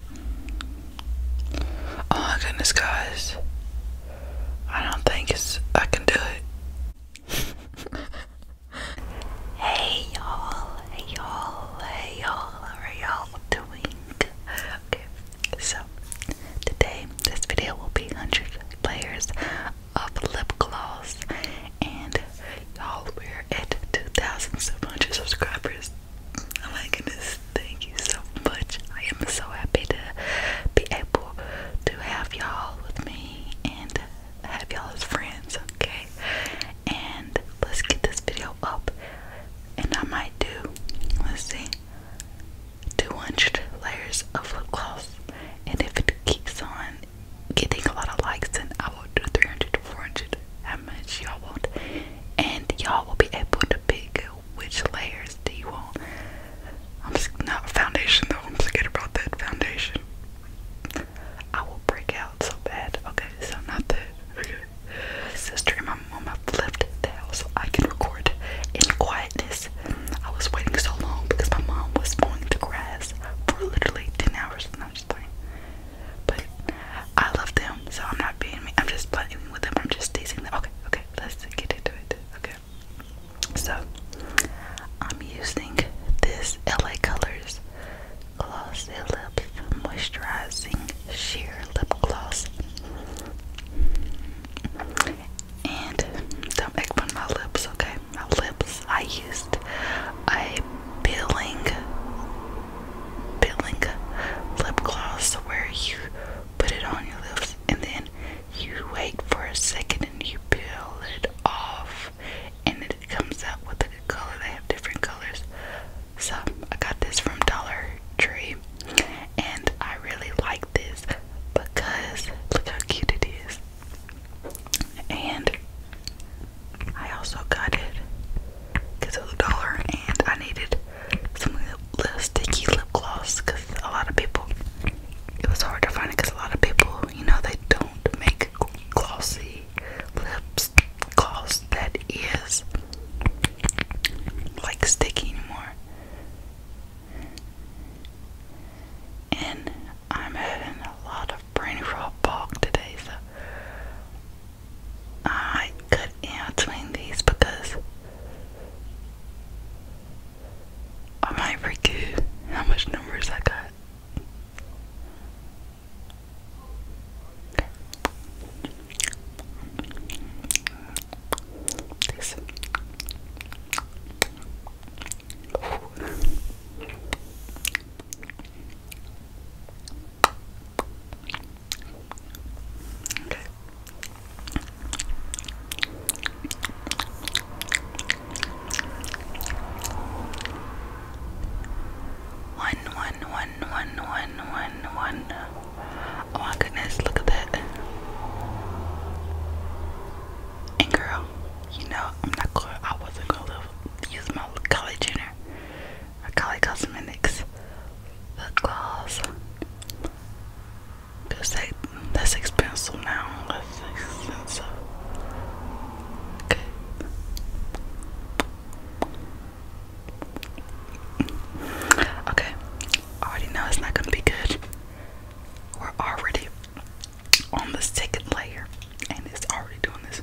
Oh my goodness, guys. I don't think it's I can do it. hey y'all, hey y'all, hey y'all, how are y'all doing? so today this video will be 100 layers of lip gloss, and y'all, wear it at 2,700 subscribers. Oh my goodness, thank you so much. I am so happy to be able to have y'all with me and have y'all as friends, okay? And let's get this video up. And I might do, let's see, 200 layers of lip gloss. And if it keeps on getting a lot of likes, then I will do 300 to 400 out how much y'all want, and y'all will be able to pick which layers do you want. I'm not foundation though. I'm scared about that foundation. I will break out so bad. Okay, so not that. Okay. Sister and my mom have left the house so I can record in quietness. I was waiting so long because my mom was mowing the grass for literally 10 hours and I was playing. But I love them, so I'm not being me. I'm just playing with them. I'm just teasing them. Okay, okay. Let's get into it. Okay. So I'm using this LA Colors Glossy Lip Moisturizing Sheer Lip Gloss. And don't egg on my lips, okay? My lips. I used a peeling peeling lip gloss where you put it on your lips and then you wait for a second and you peel it off and it comes out with a color. They have different colors. So I got this from Dollar Tree and I really like this because look how cute it is. And I also got it because it was a dollar, and I needed some little sticky lip gloss because a lot of people, it was hard to find it because a lot of people, you know, they don't make glossy lips gloss that is like sticky anymore. And I'm having a lot of brain fog today, so I could answering these because I might forget how much numbers I got. One, one, one, one, one, one, one. Oh my goodness, look at that. And girl, you know, I'm not gonna, I wasn't gonna use my college Jenner Macaulay Cosmetics lip gloss. Cause they, that's expensive now. Okay. Okay. already know it's not gonna be good. We're already on the second layer, and it's already doing this.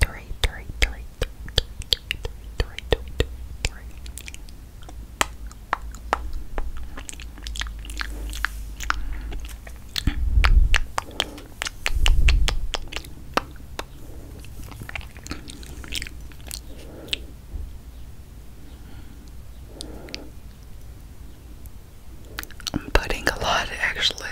Three, three, three, three, three, three, three, three. I'm putting a lot actually.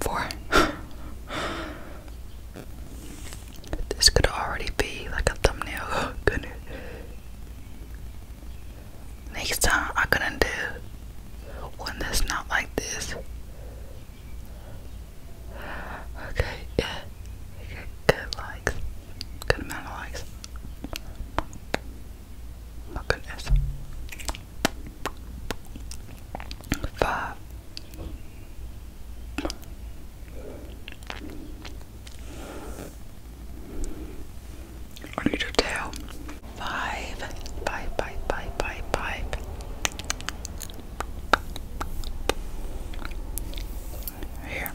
Four. this could already be like a thumbnail, oh, could Next time I'm gonna do one that's not like this. Okay, yeah. Okay, good likes. Good amount of likes. goodness. Five. I need your tail. Five. Five, five, five, five, five here.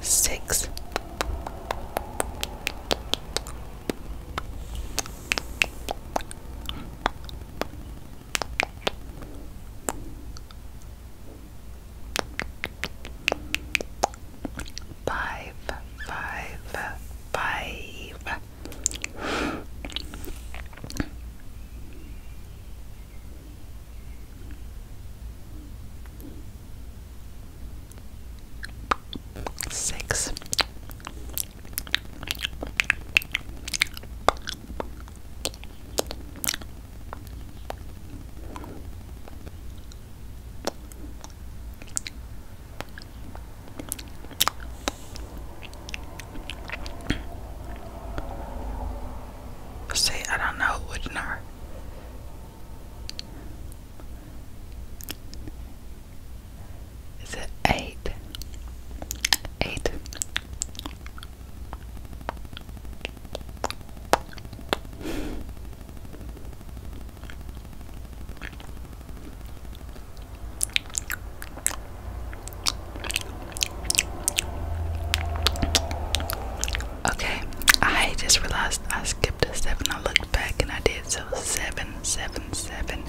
Six. Five, five, five. Six. See, I don't know which Is it eight? Eight. Okay, I just realized I skipped a seven. I looked back and I did so seven, seven, seven.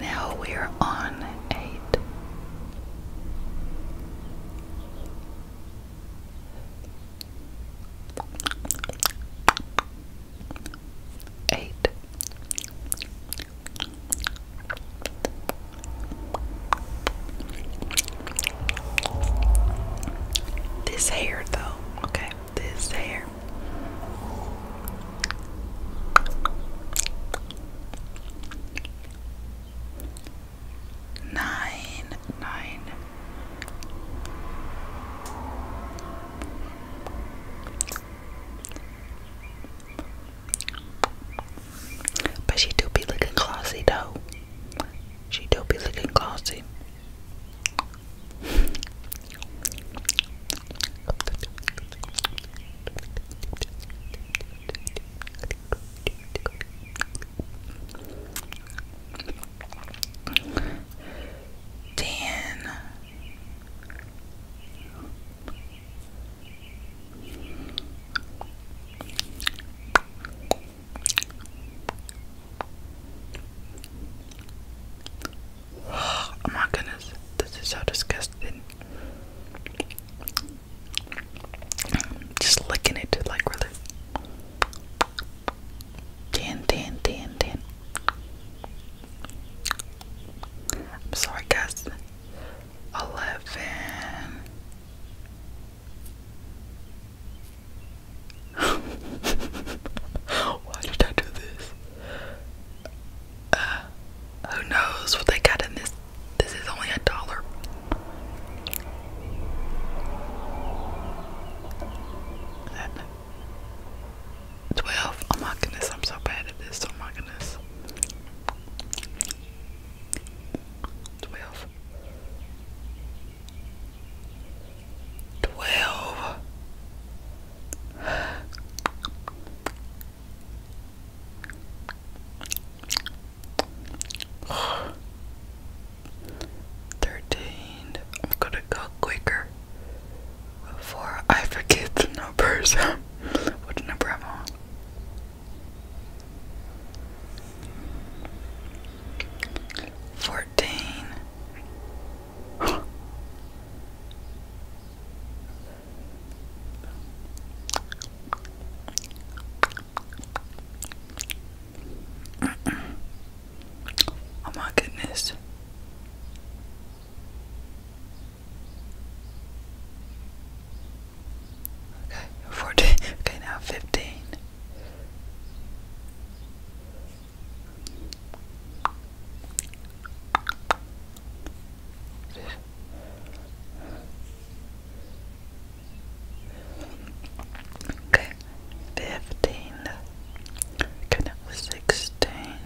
Now we're on eight eight this hair though okay this hair nine, nine. But she do be looking classy though. She do be looking classy. Dan Oh my goodness, this is so disgusting. Just licking it, like really. Tan, I'm sorry, guys. Eleven. Why did I do this? Uh, who knows what they got in this this is only a dollar. Twelve. Oh my goodness, I'm so bad at this. Oh my goodness. Twelve. Thirteen. I'm gonna go quicker before I forget the numbers. what number Fourteen oh my goodness. Okay, 14. Okay, now 15. Okay, fifteen. Good, sixteen.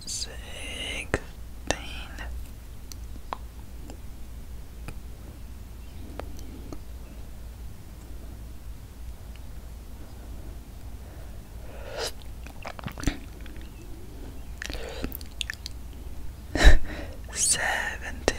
Sixteen. Seventeen.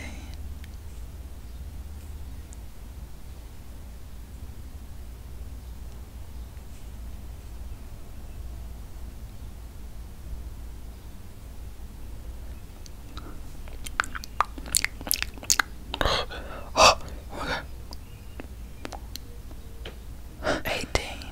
Oh Eighteen.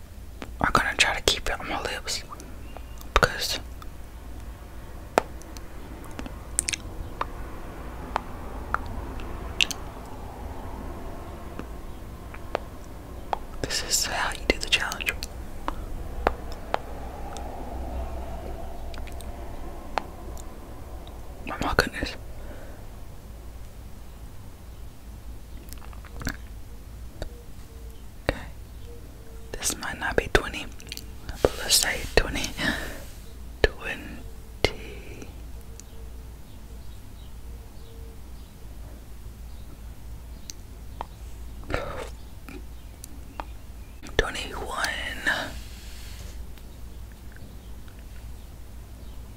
I'm gonna try to keep it on my lips because this is how you do the challenge. Oh my goodness. Okay. This might not be 20, but let's say 20. 20. Twenty one,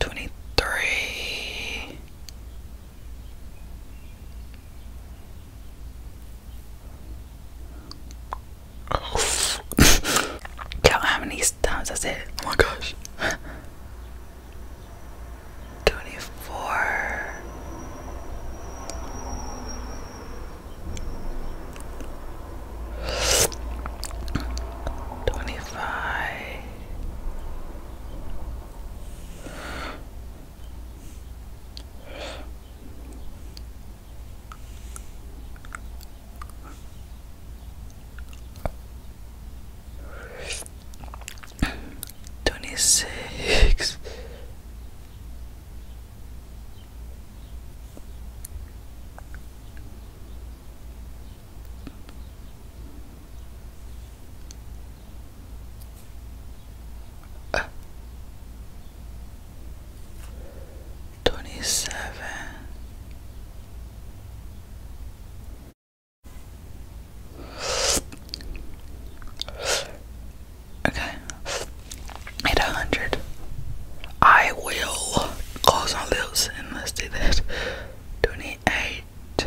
Twenty-three. Count how many times I said. Oh my gosh. Twenty-four. Twenty-five. Twenty six. Twenty seven, okay, at a hundred. I will close my lips and let's do that twenty eight,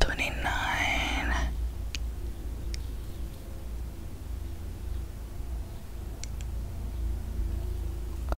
twenty nine.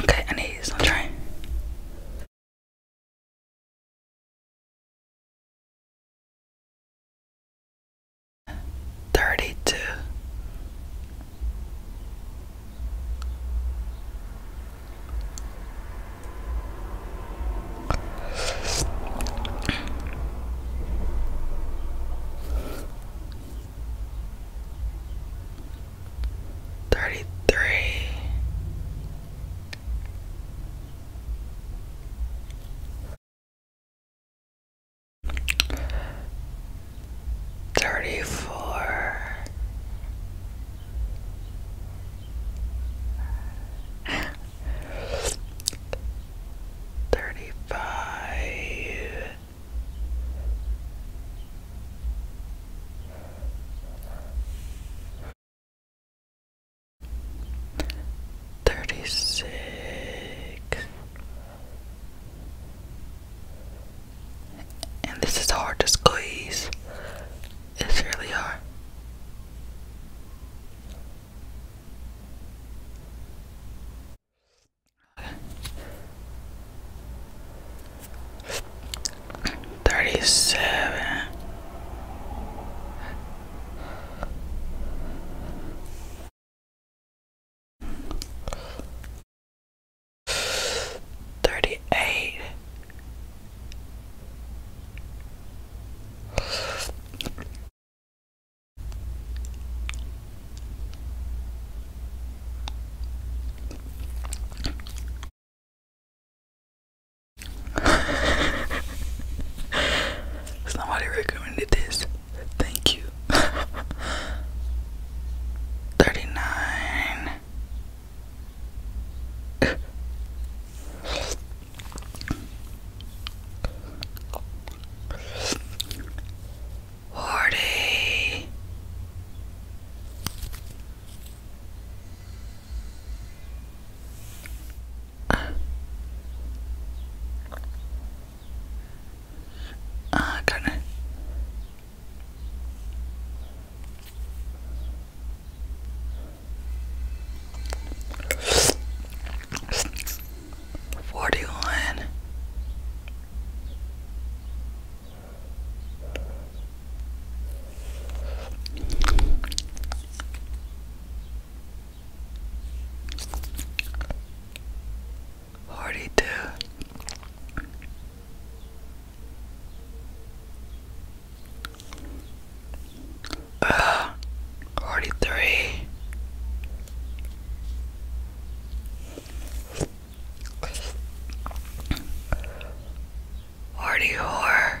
Okay, I need this Thirty two Thirty three. Thirty four, Thirty-five. Thirty six, and this is hard to squeeze. It's really hard. Thirty seven. Thirty eight. Somebody recommended this. Thank you. 39 Forty. Ah, uh, goodness. Forty one. Forty two. Uh, 43 44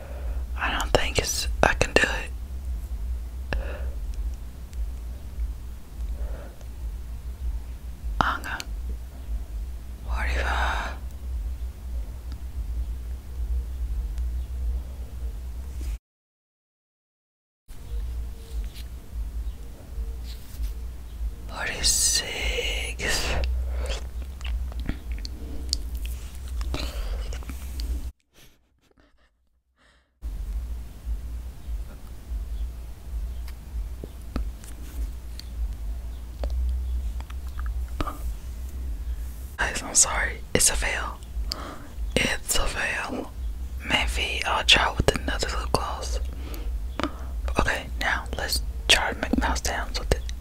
I don't think I can do it. I'm gonna forty-five. Forty six Guys, I'm sorry. It's a fail. It's a fail. Maybe I'll try with another lip gloss. Okay, now let's try to make mouse sounds with it.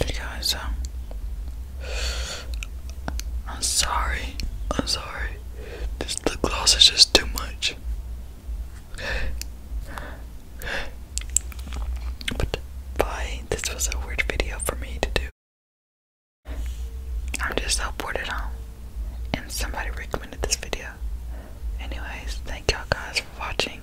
You guys, um, I'm sorry. I'm sorry. This the gloss is just too much. But bye. This was a weird video for me to do. I'm just so bored at home, and somebody recommended this video. Anyways, thank y'all guys for watching.